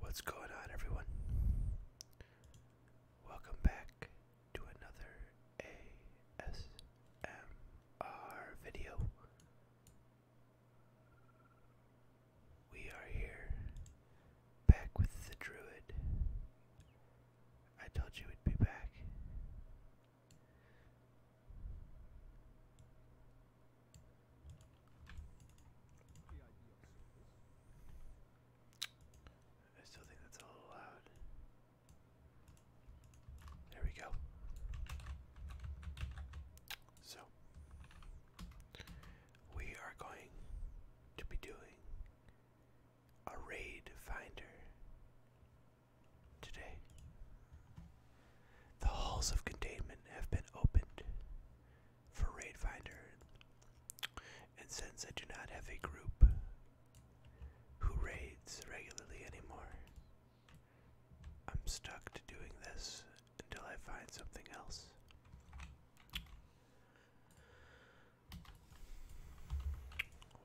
What's going on, everyone? Welcome back to another ASMR video. We are here back with the druid. I told you we'd be back. I still think that's a little loud. There we go. So, we are going to be doing a raid finder today. The halls of containment have been opened for Raid Finder, and since I do not have a group who raids regularly anymore, I'm stuck to doing this until I find something else.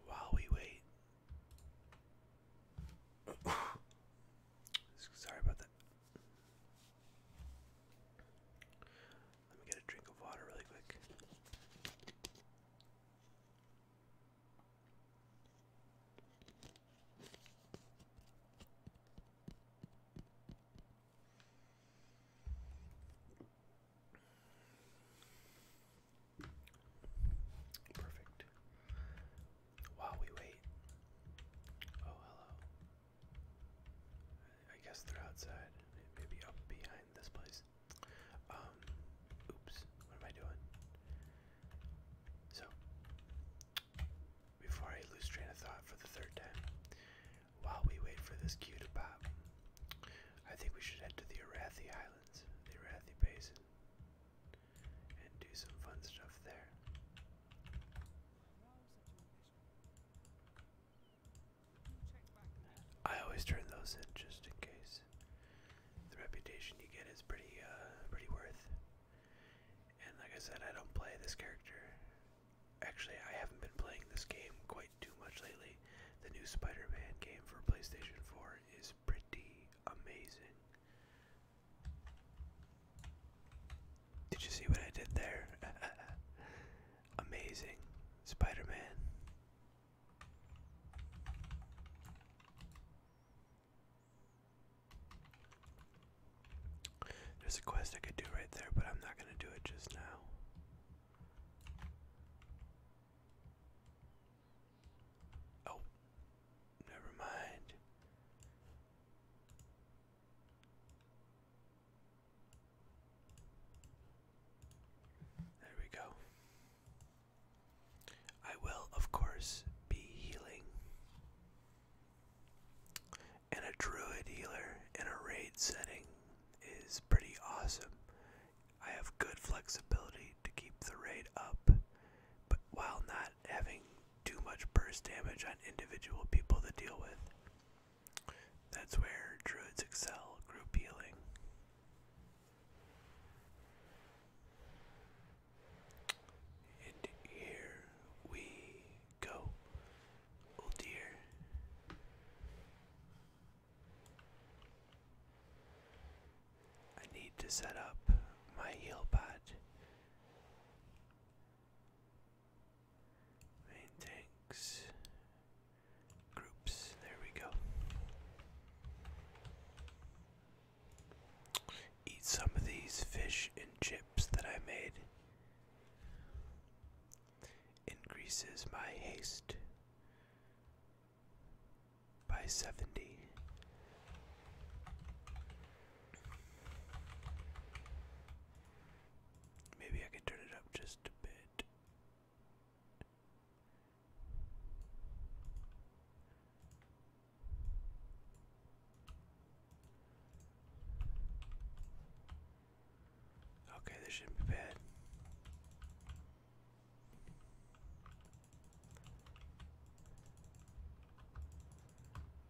While we wait. Sorry about that. Let me get a drink of water really quick. Perfect while we wait. Oh, hello. I guess they're outside. Maybe up behind this place. Um, oops, what am I doing? So, before I lose train of thought for the third time, while we wait for this cue to pop, I think we should head to the Arathi Islands, the Arathi Basin and do some fun stuff there. I always turn those in just in case. The reputation you get is pretty, uh, pretty worth. And like I said, I don't play this character. Actually, I haven't been playing this game quite too much lately. The new Spider-Man game for PlayStation 4 is pretty amazing. Did you see what I did there? Amazing. Spider Man. There's a quest I could do right there, but I'm not going to do it just now. Oh, never mind. There we go. I will, of course, be healing. And a druid healer in a raid setting is pretty awesome. I have good flexibility to keep the raid up, but while not having too much burst damage on individual people to deal with. That's where druids excel, group healing. And here we go. Oh dear. I need to set up my heal pod. Main tanks. Groups. There we go. Eat some of these fish and chips that I made. Increases my haste by 70. Maybe I can turn it up just a bit. Okay, this shouldn't be bad.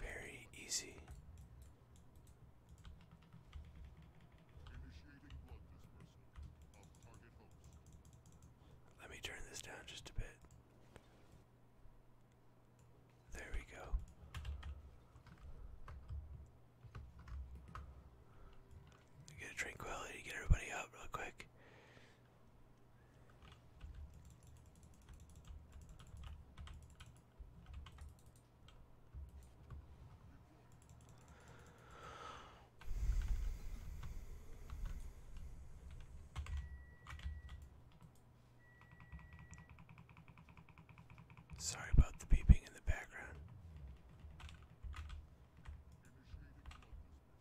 Very easy. Let me turn this down just a bit. There we go. Get tranquility, get everybody up real quick. Sorry about the beeping in the background.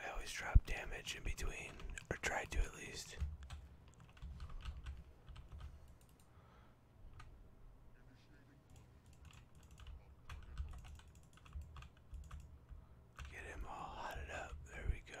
I always drop damage in between, or try to at least. Get him all hotted up. There we go.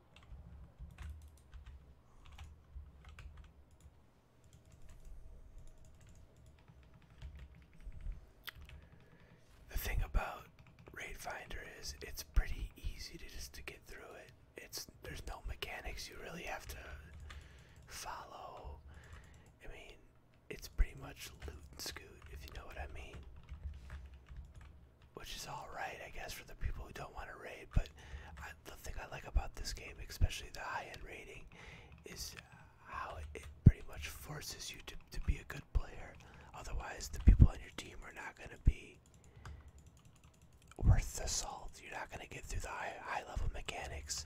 The thing about Raid Finder is it's pretty easy to just to get through it. It's there's no mechanics you really have to follow. I mean, it's pretty much loot and scoot if you know what I mean. Which is all right, I guess, for the people who don't want to raid, but I, the thing I like about this game, especially the high-end rating, is how it pretty much forces you to, to be a good player. Otherwise, the people on your team are not going to be worth the salt. You're not going to get through the high-level high mechanics.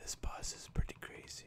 This boss is pretty crazy.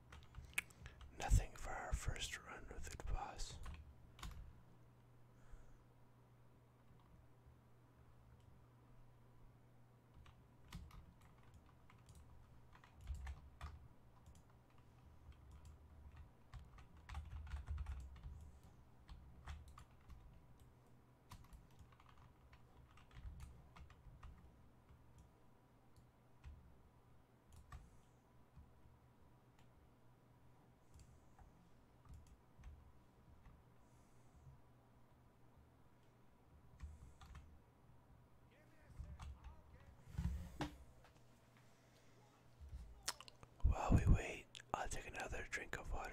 Nothing for our first run with the boss. While we wait, I'll take another drink of water.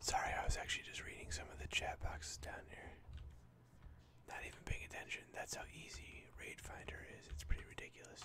Sorry, I was actually just reading some of the chat boxes down here. Not even paying attention. That's how easy Raid Finder is. It's pretty ridiculous.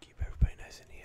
Keep everybody nice and healed.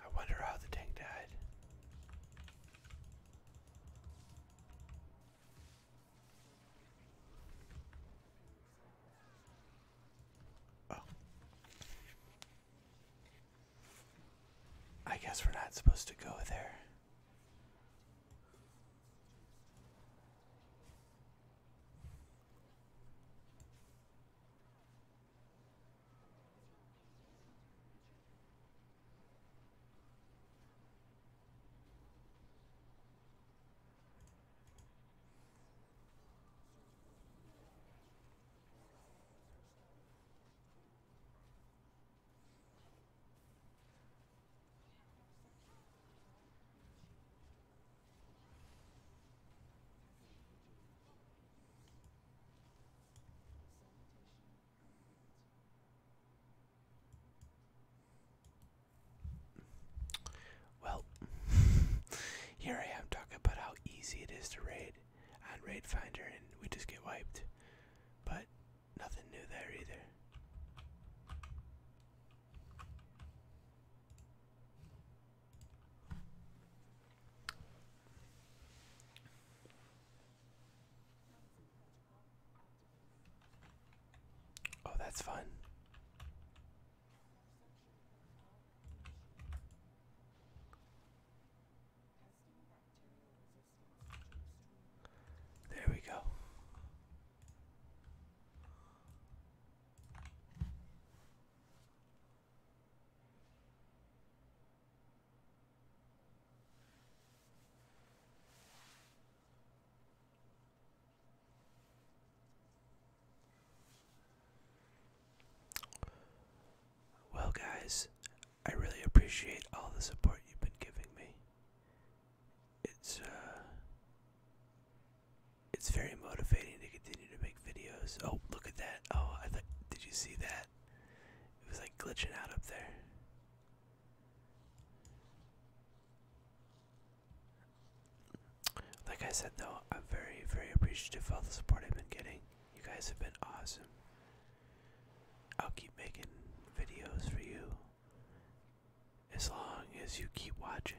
I wonder how the tank died. Oh. I guess we're not supposed to go there. Well, here I am talking about how easy it is to raid. And Raid Finder and we just get wiped. But nothing new there either. Oh, that's fun. There we go. Well, guys, I really appreciate all the support you've been giving me. It's uh it's very motivating to continue to make videos. Oh, look at that. Oh, I thought did you see that? It was like glitching out up there. Like I said though, I'm very, very appreciative of all the support I've been getting. You guys have been awesome. I'll keep making videos for you as long as you keep watching.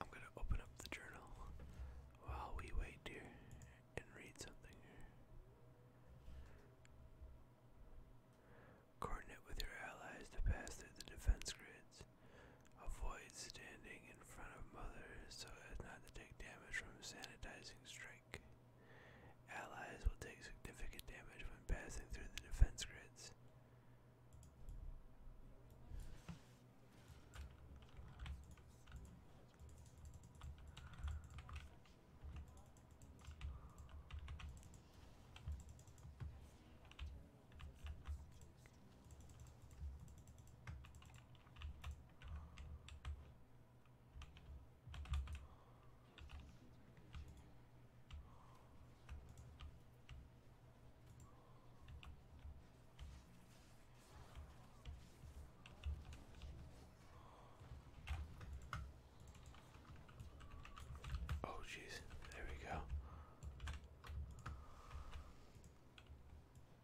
I'm going to open up the journal while we wait here and read something. Coordinate with your allies to pass through the defense grids. Avoid standing in front of mothers so as not to take damage from sanitizing strike. Allies will take significant damage when passing through the defense grids. Oh, jeez, there we go.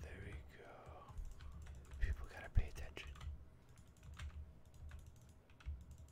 There we go. People gotta pay attention.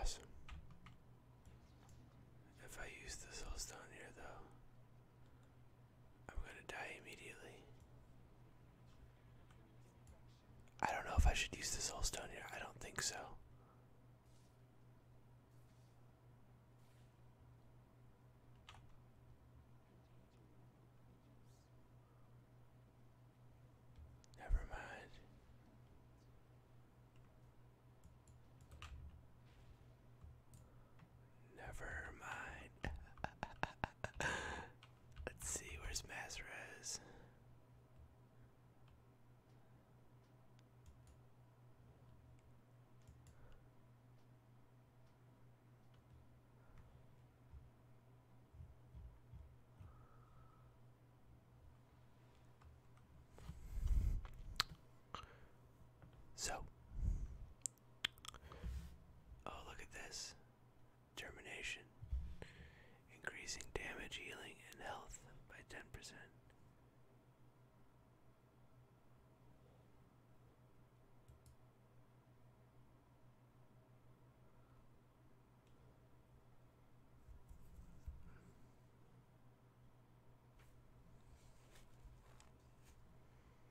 Awesome. If I use the soulstone here, though, I'm gonna die immediately. I don't know if I should use this whole stone here. I don't think so. Never mind. Never mind. Let's see, where's Masrez? So, oh, look at this. Termination. Increasing damage, healing, and health by 10%.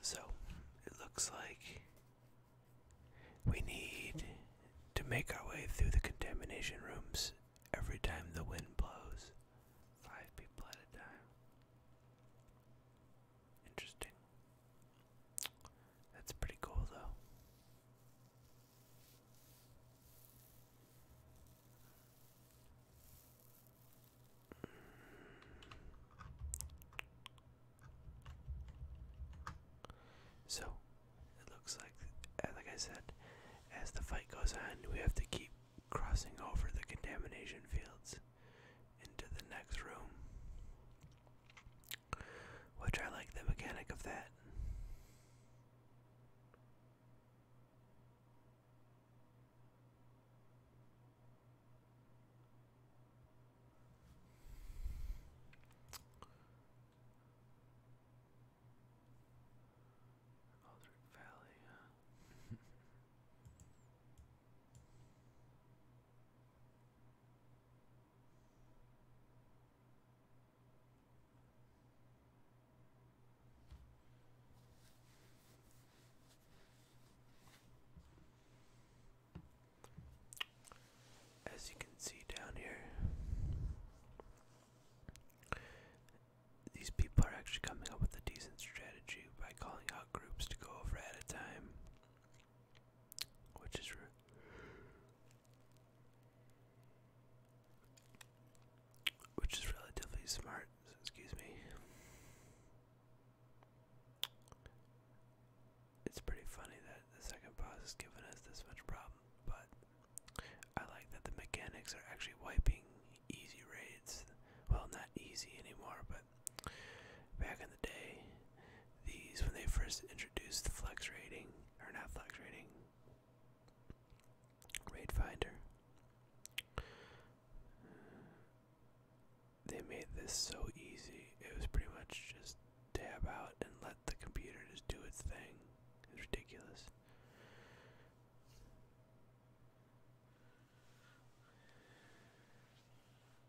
So it looks like we need to make our way through the contamination rooms every time the wind blows, five people at a time. Interesting. That's pretty cool, though. So, it looks like, uh, like I said, as the fight goes on, we have to keep crossing over the contamination fields into the next room. Which I like the mechanic of that. Aldrich Valley, As you can see down here, these people are actually coming up with a decent strategy by calling out groups to go over at a time which is Which is relatively smart, excuse me. It's pretty funny that the second boss is giving us this much problem, but I like that the mechanics are actually wiping easy raids. Well, not easy anymore, but back in the day, these when they first introduced the flex rating, or not flex rating, rate finder, they made this so easy. It was pretty much just tab out and let the computer just do its thing. It's ridiculous.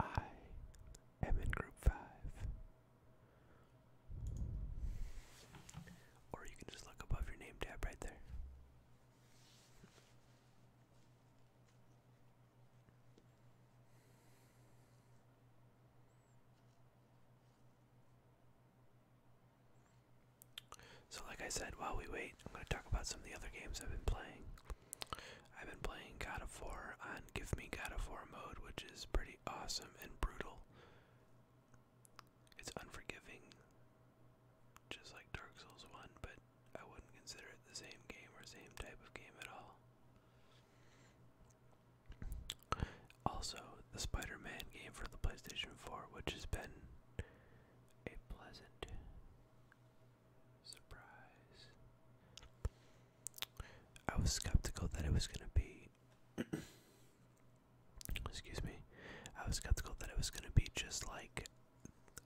I am in group five. Or you can just look above your name tab right there. So, like I said, while we wait, I'm going to talk about some of the other games I've been playing. I've been playing God of War on Give Me God of War mode, which is pretty awesome and brutal. It's unforgiving, just like Dark Souls 1, but I wouldn't consider it the same game or same type of game at all. Also, the Spider Man game for the PlayStation 4, which has been a pleasant surprise. I was skeptical that it was going to be. Excuse me. I was skeptical that it was going to be just like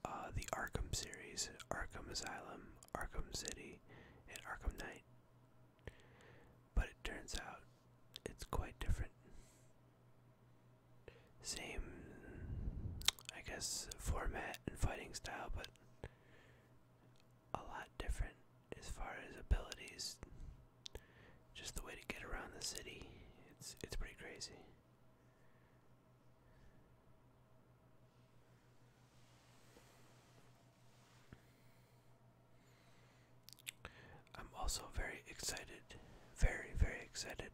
uh, the Arkham series Arkham Asylum, Arkham City, and Arkham Knight. But it turns out it's quite different. Same, I guess, format and fighting style, but a lot different as far as abilities. Just the way to get around the city. It's it's pretty crazy. I'm also very excited, very, very excited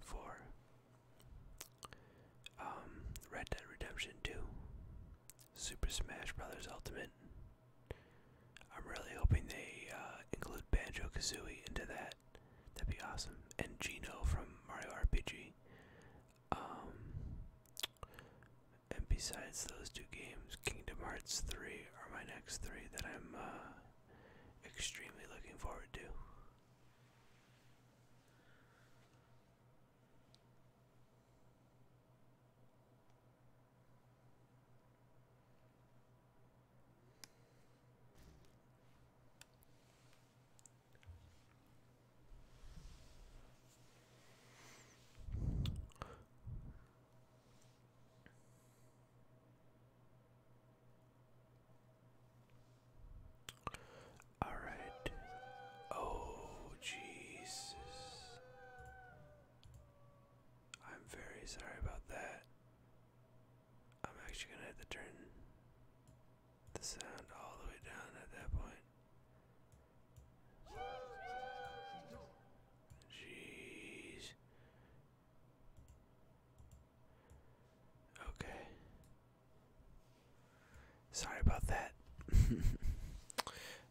for um, Red Dead Redemption 2, Super Smash Bros. Ultimate. I'm really hoping they uh, include Banjo Kazooie into that. That'd be awesome. And Gino from Mario RPG. Um, and besides those two games, Kingdom Hearts 3 are my next three that I'm uh, extremely looking forward to. All right. Oh, Jesus. I'm very sorry about that. I'm actually going to have to turn the sound all the way down at that point. Jeez. Okay. Sorry about that.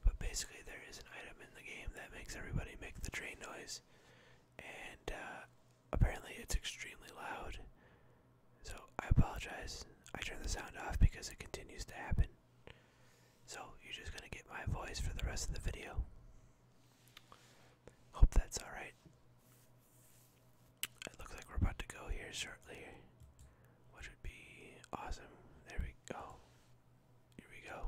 but basically, there is an item in the game that makes everybody make the train noise. And uh, apparently, it's extremely loud. So I apologize. I turn the sound off because it continues to happen. So, you're just going to get my voice for the rest of the video. Hope that's alright. It looks like we're about to go here shortly, which would be awesome. There we go. Here we go.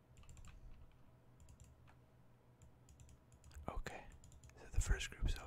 Okay, so the first group's over.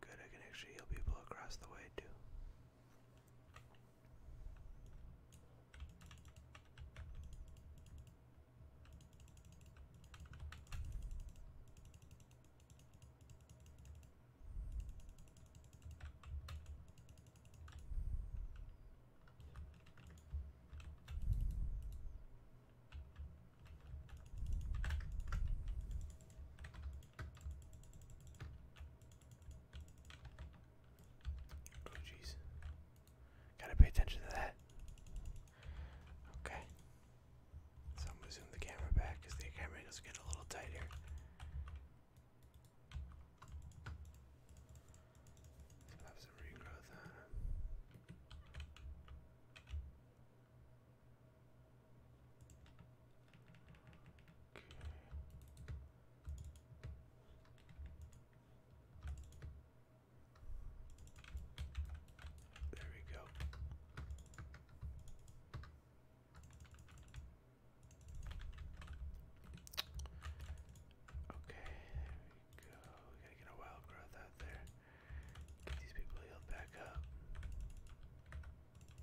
Good, I can actually heal people across the way too. Oh jeez. Gotta pay attention to that. Okay. So I'm gonna zoom the camera back because the camera does get a little tighter. let some regrowth Okay. There we go. Okay, We gotta get a wild growth out there. Get these people healed back up.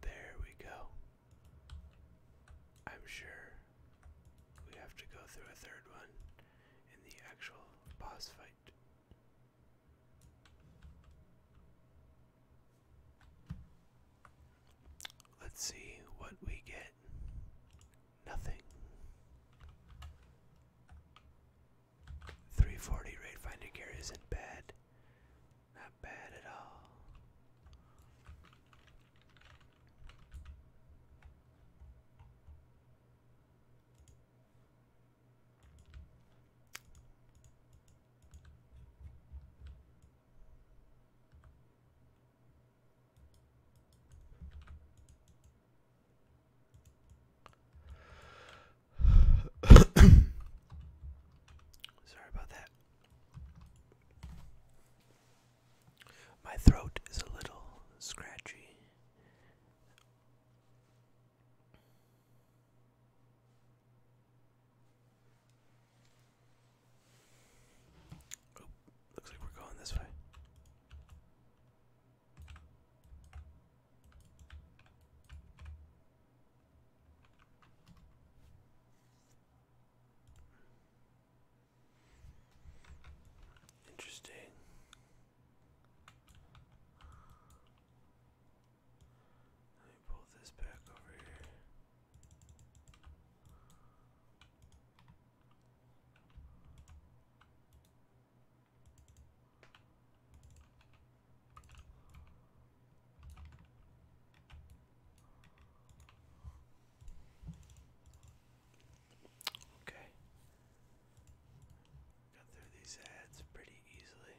There we go. I'm sure we have to go through a third one in the actual boss fight. Let's see what we get Nothing. 340 rate finding gear isn't bad. Not bad at all. Sorry about that. My throat is a little scratchy. looks like we're going this way. Interesting. Let me pull this back over here. Okay. Got through these ads pretty easily.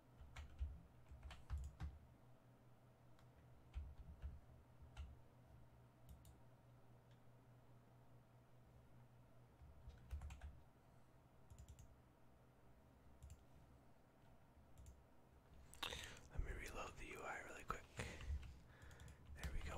Let me reload the UI really quick. There we go.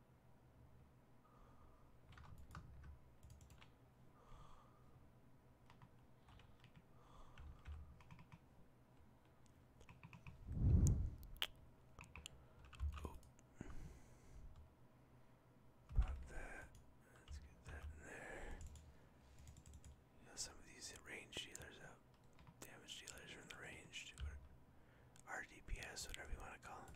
Pop that. Let's get that in there. You know, some of these range dealers out. Damage dealers are in the range. Too, RDPS, whatever you want to call them.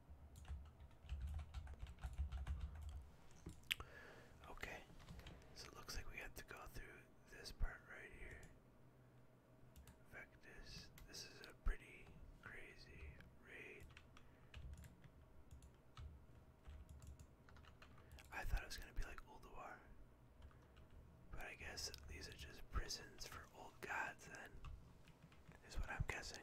Okay, so it looks like we have to go through this part right here. Vectus, this is a pretty crazy raid. I thought it was gonna be like Ulduar, but I guess these are just prisons for old gods. Then, is what I'm guessing.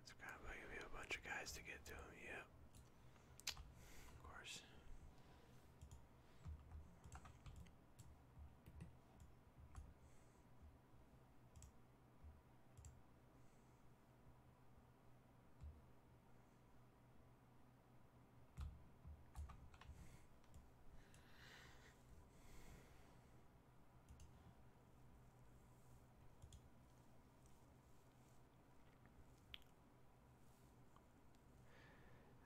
It's probably gonna be a bunch of guys to get to him, yep. Of course.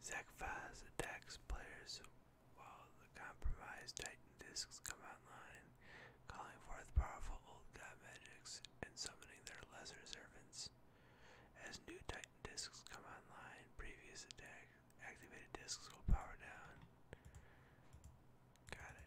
Zach attacks players while the compromised Titan discs come online, calling forth powerful old god magics and summoning their lesser servants. As new Titan discs come online, previous attack Activated discs will power down. Got it.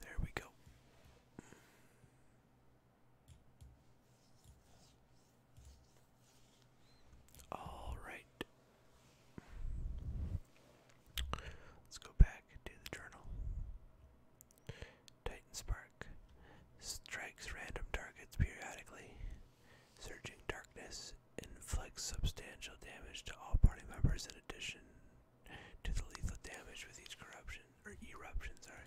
There we go. All right. Let's go back to the journal. Titan Spark strikes random targets periodically. Surging darkness inflicts substantial damage to all party members in addition to the lethal damage with each corruption or eruption, sorry.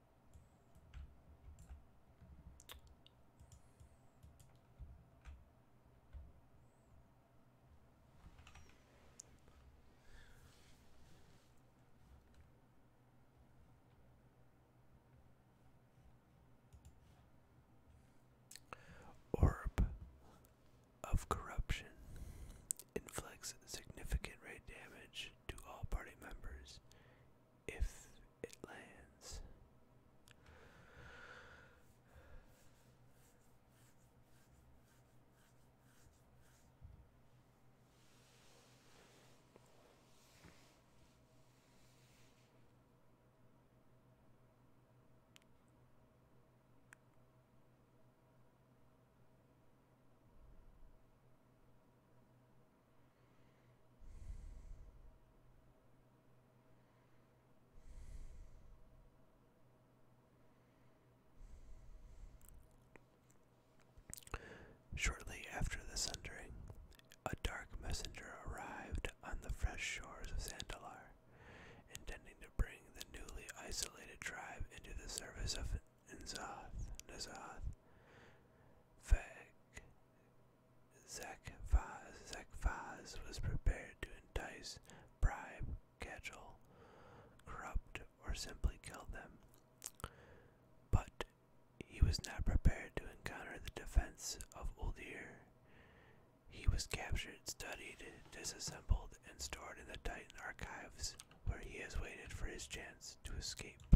Orb of corruption inflicts significant rate damage to all party members if it lands. Shortly after the sundering, a dark messenger arrived on the fresh shores of Sandalar, intending to bring the newly isolated tribe into the service of Nzoth, Nazoth, Feg, Zakphaz Zakphaz was prepared to entice, bribe, cajole, corrupt, or simply kill them. But he was not prepared to encounter the defense of Uldir. He was captured, studied, disassembled, and stored in the Titan archives, where he has waited for his chance to escape.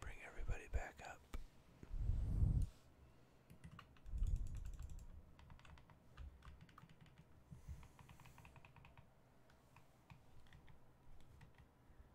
Bring everybody back up.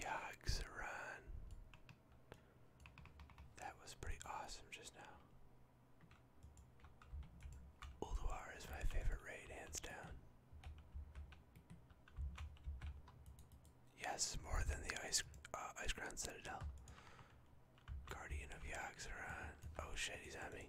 Yog's That was pretty awesome just now. Ulduar is my favorite raid, hands down. Yes, more than the ice uh, ice ground citadel. Guardian of Yaxaran. Oh shit, he's at me.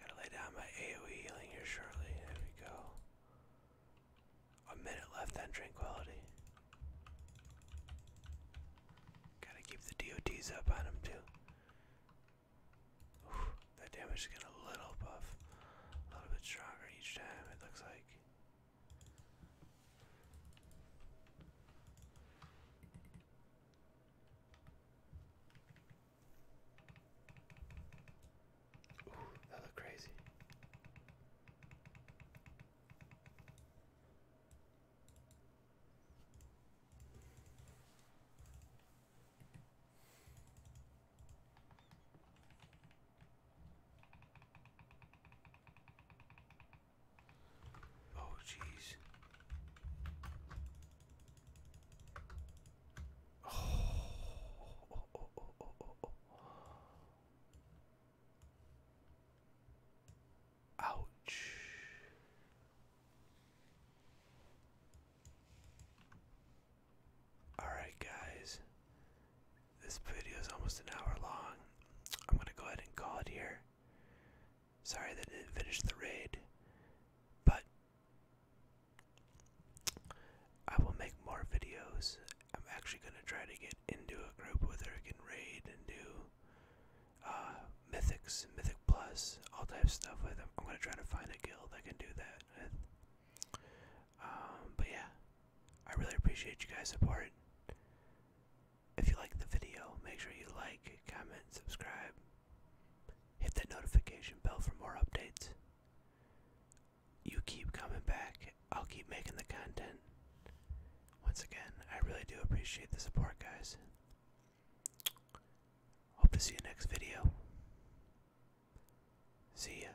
Gotta lay down my AoE healing here shortly. There we go. A minute left on tranquility. Gotta keep the DOTs up on him too. that damage is getting a little buff. A little bit stronger each time, it looks like. Ooh, that looked crazy. Oh, jeez. Ouch. All right, guys. This video is almost an hour long. I'm gonna go ahead and call it here. Sorry that didn't finish the raid, but I will make more videos. I'm actually gonna try to get into a group where I can raid and do uh, mythics, mythic plus, all types of stuff with them. I'm gonna try to find a guild that can do that um, but yeah, I really appreciate you guys' support. If you like the video, make sure you like, comment, subscribe, hit that notification bell for more updates. You keep coming back, I'll keep making the content. Once again, I really do appreciate the support, guys. Hope to see you next video. See ya.